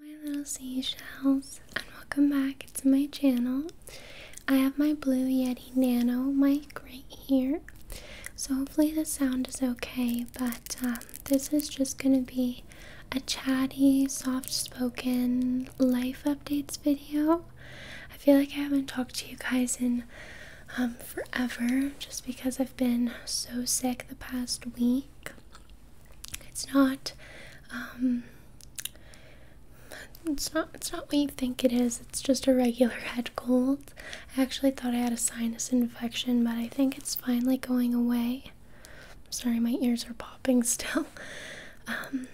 my little seashells and welcome back to my channel i have my blue yeti nano mic right here so hopefully the sound is okay but um, this is just gonna be a chatty soft spoken life updates video i feel like i haven't talked to you guys in um, forever just because i've been so sick the past week it's not um, it's not it's not what you think it is. It's just a regular head cold. I actually thought I had a sinus infection, but I think it's finally going away. sorry, my ears are popping still. Um,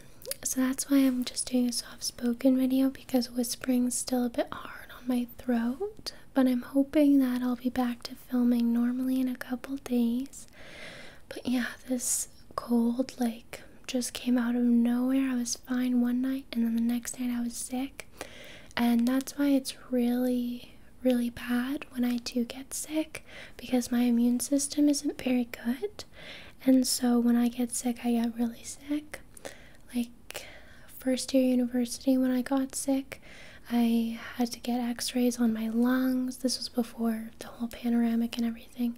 so that's why I'm just doing a soft spoken video because whispering's still a bit hard on my throat. But I'm hoping that I'll be back to filming normally in a couple days. But yeah, this cold like just came out of nowhere. I was fine one night and then the next night I was sick. And that's why it's really really bad when I do get sick because my immune system isn't very good. And so when I get sick, I get really sick. Like first year university when I got sick, I had to get x rays on my lungs. This was before the whole panoramic and everything.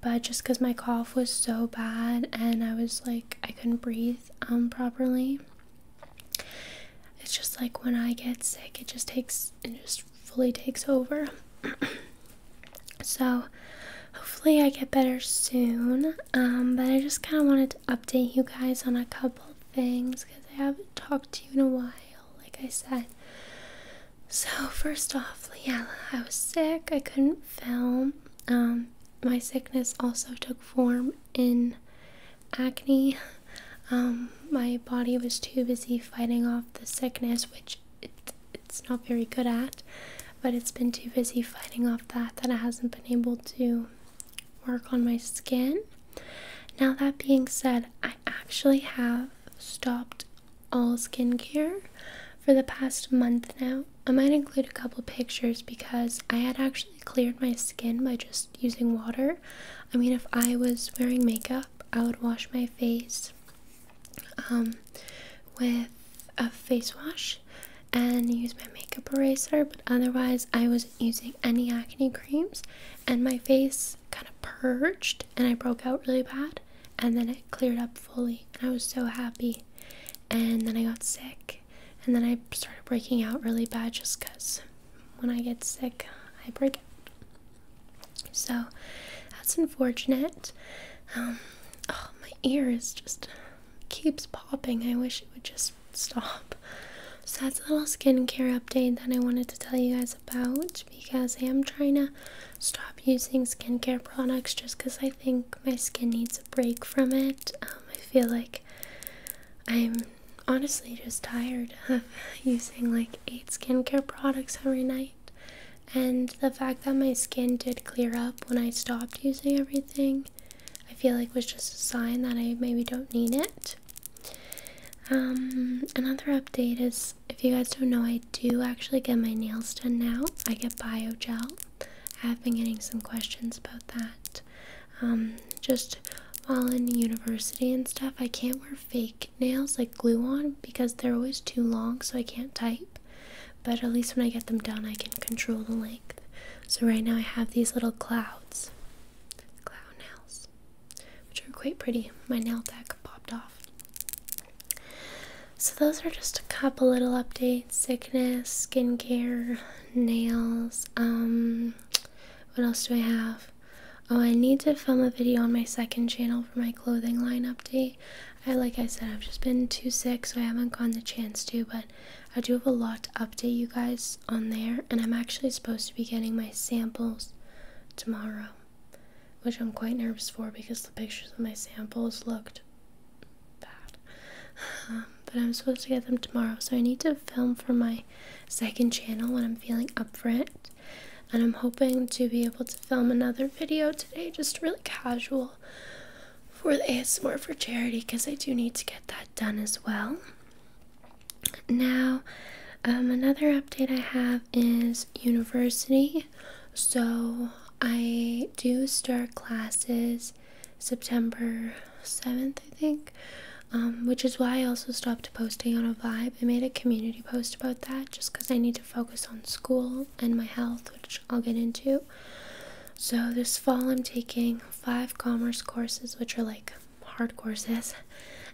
But just because my cough was so bad and I was like, I couldn't breathe um, properly. It's just like when I get sick, it just takes, it just fully takes over. so hopefully I get better soon. Um, but I just kind of wanted to update you guys on a couple things because I haven't talked to you in a while like I said. So, first off, yeah, I was sick. I couldn't film. Um, my sickness also took form in acne. Um, my body was too busy fighting off the sickness, which it's not very good at, but it's been too busy fighting off that that it hasn't been able to work on my skin. Now, that being said, I actually have stopped all skincare for the past month now. I might include a couple pictures because I had actually cleared my skin by just using water. I mean, if I was wearing makeup, I would wash my face um, with a face wash and use my makeup eraser, but otherwise, I wasn't using any acne creams, and my face kind of purged and I broke out really bad and then it cleared up fully and I was so happy and then I got sick and then I started breaking out really bad just cuz when I get sick I break out. So that's unfortunate. Um oh, my ear is just keeps popping. I wish it would just stop. So that's a little skincare update that I wanted to tell you guys about because I am trying to stop using skincare products just because I think my skin needs a break from it. Um, I feel like I'm honestly just tired of using like eight skincare products every night. And the fact that my skin did clear up when I stopped using everything, I feel like was just a sign that I maybe don't need it. Um, another update is if you guys don't know, I do actually get my nails done now. I get bio gel. I have been getting some questions about that. Um, just while in university and stuff, I can't wear fake nails like glue on because they're always too long, so I can't type. But at least when I get them done, I can control the length. So right now I have these little clouds. Cloud nails which are quite pretty. My nail deck popped off. So, those are just a couple little updates sickness, skincare, nails. Um, what else do I have? Oh, I need to film a video on my second channel for my clothing line update. I, like I said, I've just been too sick, so I haven't gotten the chance to, but I do have a lot to update you guys on there, and I'm actually supposed to be getting my samples tomorrow which I'm quite nervous for because the pictures of my samples looked bad. Um, but I'm supposed to get them tomorrow, so I need to film for my second channel when I'm feeling up for it. And I'm hoping to be able to film another video today, just really casual for the ASMR for charity because I do need to get that done as well. Now, um, another update I have is university. So, I do start classes September 7th, I think, um, which is why I also stopped posting on a vibe. I made a community post about that just because I need to focus on school and my health, which I'll get into. So, this fall I'm taking five commerce courses, which are like hard courses,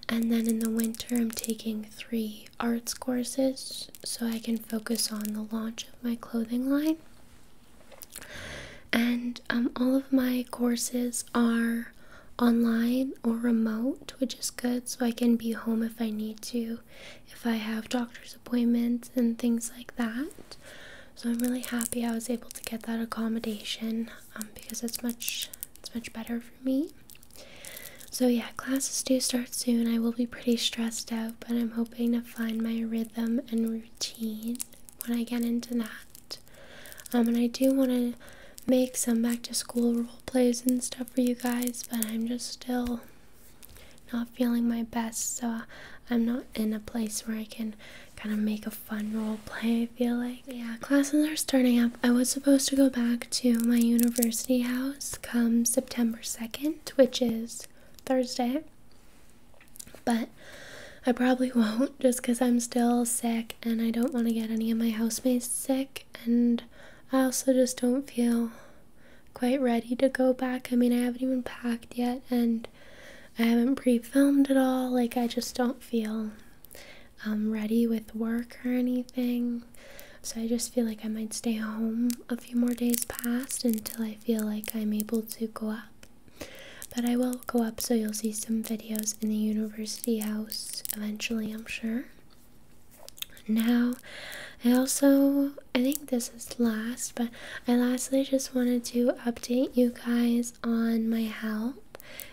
and then in the winter, I'm taking three arts courses so I can focus on the launch of my clothing line. And um, all of my courses are online or remote, which is good, so I can be home if I need to, if I have doctor's appointments and things like that. So I'm really happy I was able to get that accommodation um, because it's much it's much better for me. So, yeah, classes do start soon. I will be pretty stressed out, but I'm hoping to find my rhythm and routine when I get into that. Um, and I do want to make some back to school role plays and stuff for you guys, but I'm just still not feeling my best, so I'm not in a place where I can kind of make a fun role play feel like. Yeah, classes are starting up. I was supposed to go back to my university house come September 2nd, which is Thursday. But I probably won't just because I'm still sick and I don't want to get any of my housemates sick. And I also just don't feel quite ready to go back. I mean, I haven't even packed yet and I haven't pre filmed at all. Like, I just don't feel um, ready with work or anything. So I just feel like I might stay home a few more days past until I feel like I'm able to go up. But I will go up so you'll see some videos in the university house eventually, I'm sure. Now, I also, I think this is last, but I lastly just wanted to update you guys on my health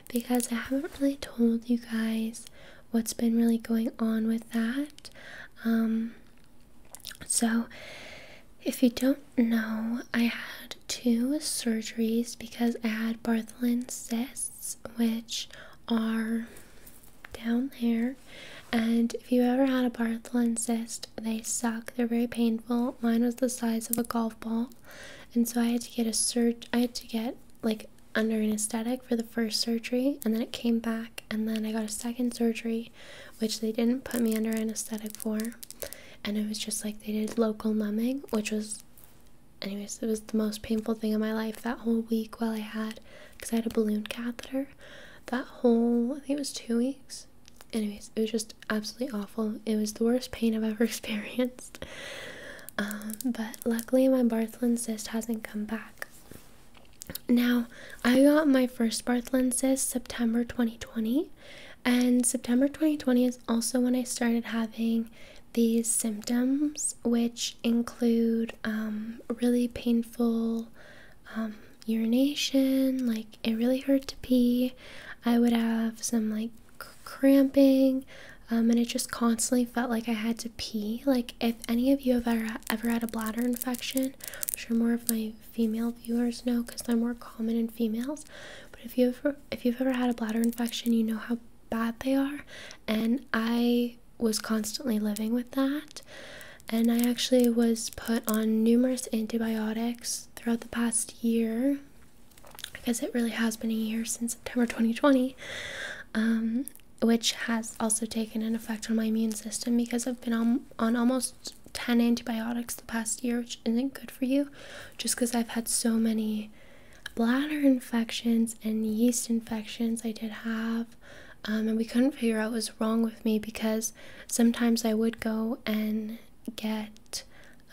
because I haven't really told you guys what's been really going on with that. Um, so, if you don't know, I had two surgeries because I had Bartholin cysts, which are down there. And if you ever had a Bartholin cyst, they suck. They're very painful. Mine was the size of a golf ball, and so I had to get a surge. I had to get like under anesthetic for the first surgery, and then it came back, and then I got a second surgery, which they didn't put me under anesthetic for, and it was just like they did local numbing, which was, anyways, it was the most painful thing in my life that whole week while I had, because I had a balloon catheter, that whole, I think it was two weeks. Anyways, it was just absolutely awful. It was the worst pain I've ever experienced. Um, but luckily, my Bartholin cyst hasn't come back. Now, I got my first Bartholin cyst September 2020, and September 2020 is also when I started having these symptoms, which include um, really painful um, urination, like it really hurt to pee. I would have some like cramping um, and it just constantly felt like I had to pee. Like, if any of you have ever, ever had a bladder infection, I'm sure more of my female viewers know because they're more common in females. But if you've if you've ever had a bladder infection, you know how bad they are. And I was constantly living with that, and I actually was put on numerous antibiotics throughout the past year because it really has been a year since September 2020 um, which has also taken an effect on my immune system because I've been on, on almost 10 antibiotics the past year, which isn't good for you just because I've had so many bladder infections and yeast infections I did have. Um, and we couldn't figure out what was wrong with me because sometimes I would go and get,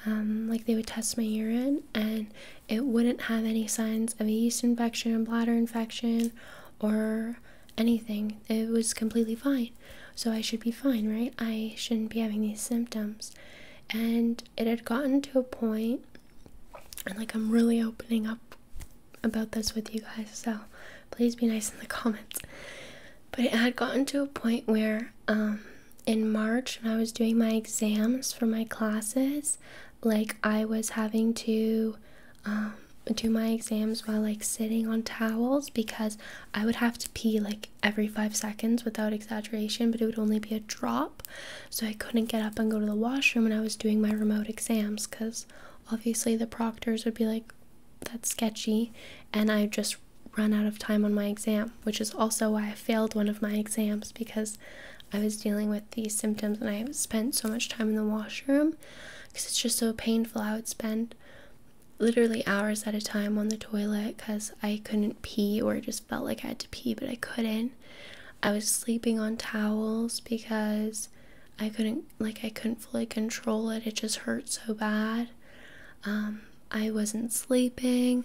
um, like, they would test my urine and it wouldn't have any signs of a yeast infection, bladder infection, or anything. It was completely fine. So I should be fine, right? I shouldn't be having these symptoms. And it had gotten to a point, and like I'm really opening up about this with you guys, so please be nice in the comments. But it had gotten to a point where, um, in March, when I was doing my exams for my classes, like I was having to um, do my exams while like sitting on towels because I would have to pee like every five seconds without exaggeration, but it would only be a drop. So I couldn't get up and go to the washroom when I was doing my remote exams because obviously the proctors would be like, that's sketchy. And I just run out of time on my exam, which is also why I failed one of my exams because I was dealing with these symptoms and I spent so much time in the washroom because it's just so painful. I would spend literally hours at a time on the toilet because I couldn't pee or just felt like I had to pee, but I couldn't. I was sleeping on towels because I couldn't like I couldn't fully control it. It just hurt so bad. Um, I wasn't sleeping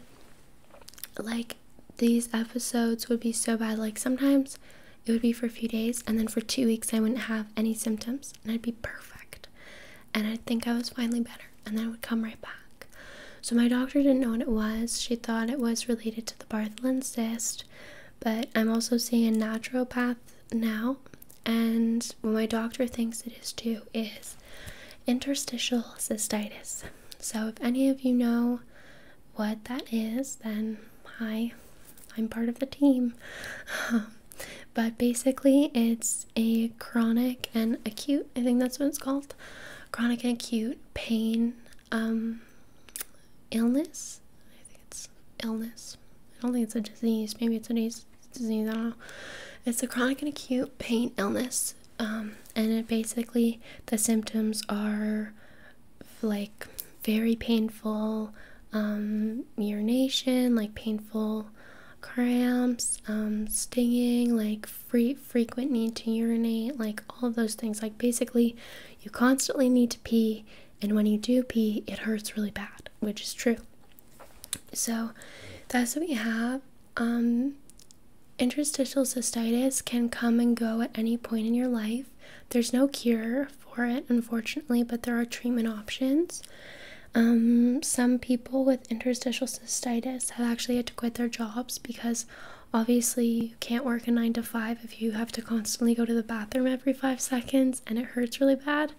like these episodes would be so bad. Like sometimes it would be for a few days, and then for two weeks I wouldn't have any symptoms, and I'd be perfect. And I'd think I was finally better, and then it would come right back. So my doctor didn't know what it was. She thought it was related to the Bartholin cyst, but I'm also seeing a naturopath now. And what my doctor thinks it is too is interstitial cystitis. So if any of you know what that is, then hi, I'm part of the team. Um, but basically, it's a chronic and acute, I think that's what it's called chronic and acute pain um, illness. I think it's illness. I don't think it's a disease. Maybe it's a disease. I don't know. It's a chronic and acute pain illness um, and it basically the symptoms are like very painful um, urination, like painful cramps, um, stinging, like free frequent need to urinate, like all those things. Like basically, you constantly need to pee, and when you do pee, it hurts really bad, which is true. So that's what we have. Um, Interstitial cystitis can come and go at any point in your life. There's no cure for it, unfortunately, but there are treatment options. Um, some people with interstitial cystitis have actually had to quit their jobs because obviously you can't work a 9 to 5 if you have to constantly go to the bathroom every 5 seconds and it hurts really bad.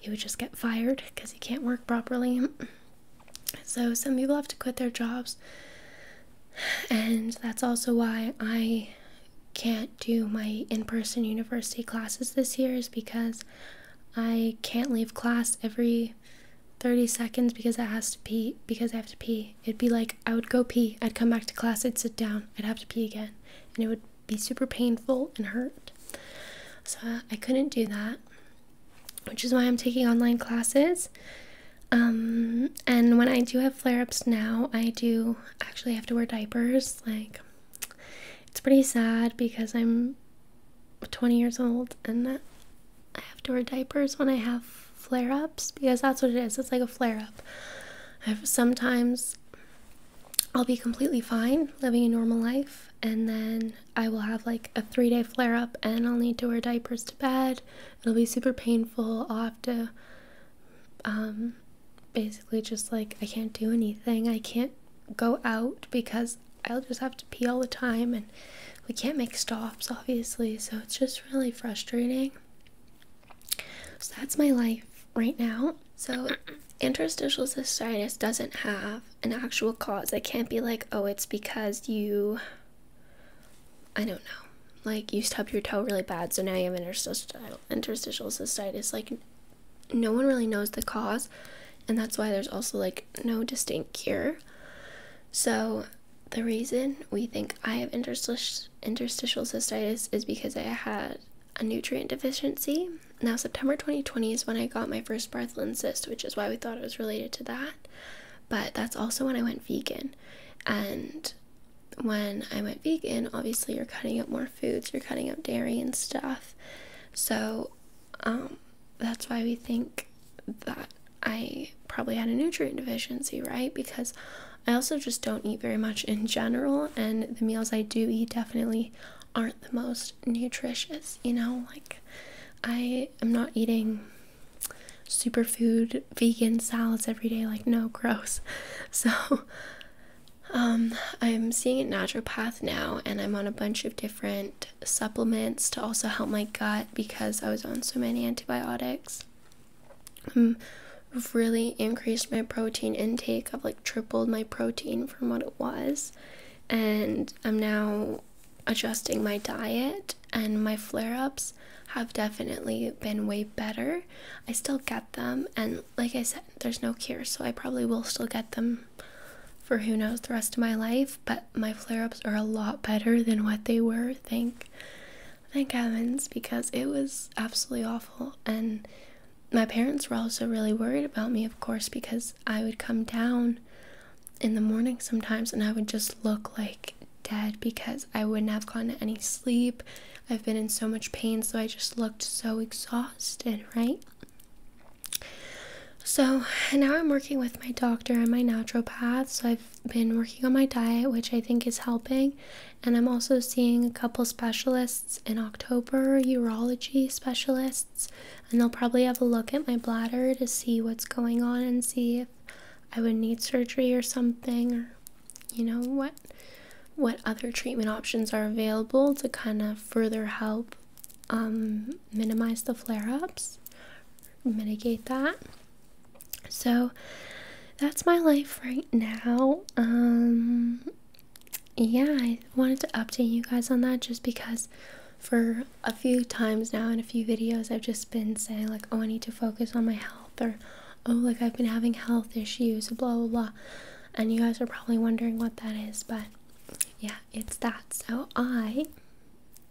You would just get fired because you can't work properly. So some people have to quit their jobs and that's also why I can't do my in person university classes this year, is because I can't leave class every 30 seconds because I have to pee because I have to pee. It'd be like I would go pee, I'd come back to class, I'd sit down, I'd have to pee again, and it would be super painful and hurt. So I couldn't do that, which is why I'm taking online classes. Um, and when I do have flare ups now, I do actually have to wear diapers. Like, it's pretty sad because I'm 20 years old and I have to wear diapers when I have flare ups because that's what it is. It's like a flare up. sometimes I'll be completely fine living a normal life, and then I will have like a three day flare up and I'll need to wear diapers to bed. It'll be super painful. I'll have to um, basically just like, I can't do anything. I can't go out because I'll just have to pee all the time and we can't make stops, obviously. So it's just really frustrating. So that's my life right now. So interstitial cystitis doesn't have an actual cause. I can't be like, oh, it's because you I don't know. Like you stubbed your toe really bad, so now you have interstitial interstitial cystitis. Like no one really knows the cause, and that's why there's also like no distinct cure. So the reason we think I have interstitial interstitial cystitis is because I had a nutrient deficiency. Now September 2020 is when I got my first Bartholin cyst, which is why we thought it was related to that but that's also when I went vegan. And when I went vegan, obviously you're cutting out more foods, you're cutting out dairy and stuff. So um, that's why we think that I probably had a nutrient deficiency, right? Because I also just don't eat very much in general, and the meals I do eat definitely aren't the most nutritious, you know? Like, I am not eating superfood vegan salads every day like no gross so um, i'm seeing a naturopath now and i'm on a bunch of different supplements to also help my gut because i was on so many antibiotics I've um, really increased my protein intake i've like tripled my protein from what it was and i'm now adjusting my diet and my flare ups have definitely been way better. I still get them, and like I said, there's no cure, so I probably will still get them for who knows the rest of my life. But my flare ups are a lot better than what they were. Thank, thank heavens, because it was absolutely awful. And my parents were also really worried about me, of course, because I would come down in the morning sometimes and I would just look like dead because I wouldn't have gotten any sleep. I've been in so much pain, so I just looked so exhausted, right? So now I'm working with my doctor and my naturopath. So I've been working on my diet, which I think is helping. And I'm also seeing a couple specialists in October, urology specialists. And they'll probably have a look at my bladder to see what's going on and see if I would need surgery or something, or you know what what other treatment options are available to kind of further help um, minimize the flare-ups, mitigate that. So that's my life right now. Um, yeah, I wanted to update you guys on that just because for a few times now in a few videos I've just been saying like, oh, I need to focus on my health or oh like I've been having health issues blah blah and you guys are probably wondering what that is but yeah it's that so I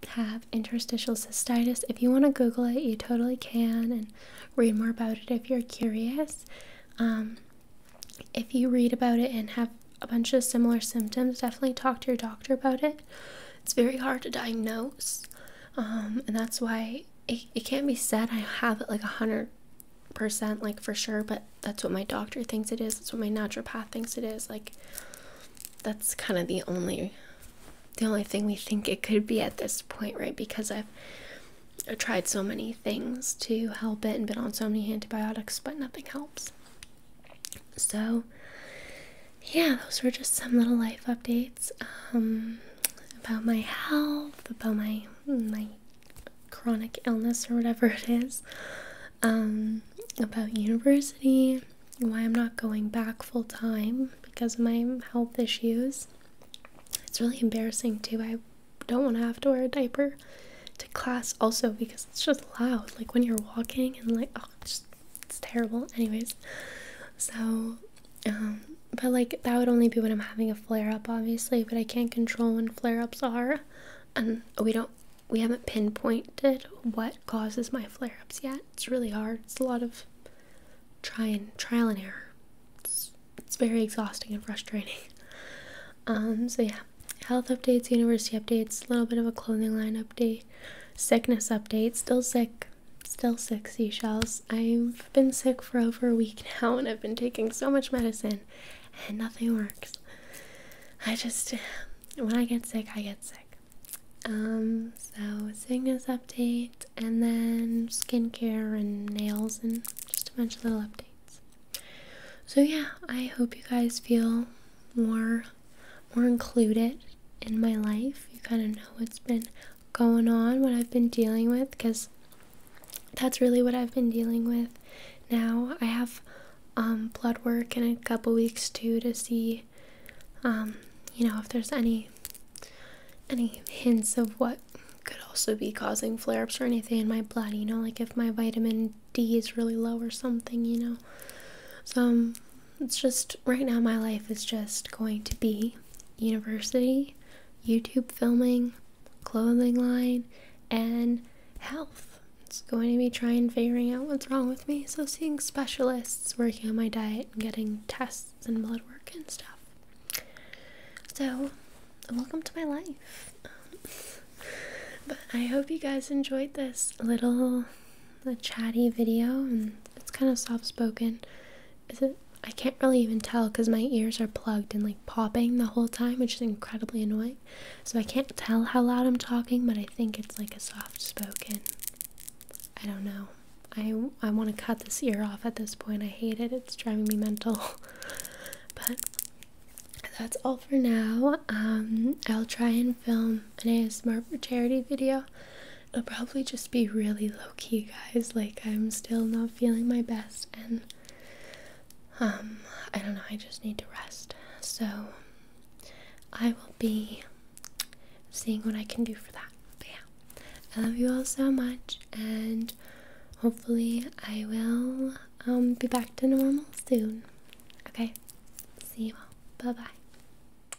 have interstitial cystitis if you want to google it you totally can and read more about it if you're curious um, if you read about it and have a bunch of similar symptoms definitely talk to your doctor about it it's very hard to diagnose um, and that's why it, it can't be said I have it like a hundred percent like for sure but that's what my doctor thinks it is that's what my naturopath thinks it is like that's kind of the only the only thing we think it could be at this point right because I've, I've tried so many things to help it and been on so many antibiotics but nothing helps so yeah those were just some little life updates it's um, about my health, about my my chronic illness or whatever it is, um, about university, why I'm not going back full time because of my health issues. It's really embarrassing too. I don't want to have to wear a diaper to class also because it's just loud. Like when you're walking and like Oh, it's, terrible. Anyways, so um, but like that would only be when I'm having a flare up, obviously. But I can't control when flare ups are, and we don't we haven't pinpointed what causes my flare ups yet. It's really hard. It's a lot of try and trial and error. It's, it's very exhausting and frustrating. Um, so yeah, health updates, university updates, a little bit of a clothing line update, sickness update. Still sick, Still sick, seashells. I've been sick for over a week now and I've been taking so much medicine and nothing works. I just, when I get sick, I get sick. Um, so sickness update and then skincare and nails and just a bunch of little updates. So yeah, I hope you guys feel more more included in my life. You kind of know what's been going on, what I've been dealing with, because that's really what I've been dealing with now. I have um, blood work in a couple weeks too to see, um, you know, if there's any any hints of what could also be causing flare or anything in my blood. You know, like if my vitamin D is really low or something. You know, so um, it's just right now my life is just going to be university, YouTube filming, clothing line, and health. It's going to be trying figuring out what's wrong with me. So seeing specialists, working on my diet, and getting tests and blood work and stuff. So, welcome to my life. but I hope you guys enjoyed this little the chatty video and it's kind of soft spoken. Is it I can't really even tell because my ears are plugged and like popping the whole time, which is incredibly annoying. So I can't tell how loud I'm talking, but I think it's like a soft spoken. I don't know. I, I want to cut this ear off at this point. I hate it. It's driving me mental. but that's all for now. Um, I'll try and film an ASMR for charity video It'll probably just be really low key, guys. Like, I'm still not feeling my best, and um, I don't know, I just need to rest. So, I will be seeing what I can do for that. But yeah, I love you all so much, and hopefully, I will um, be back to normal soon. Okay, see you all. Bye bye.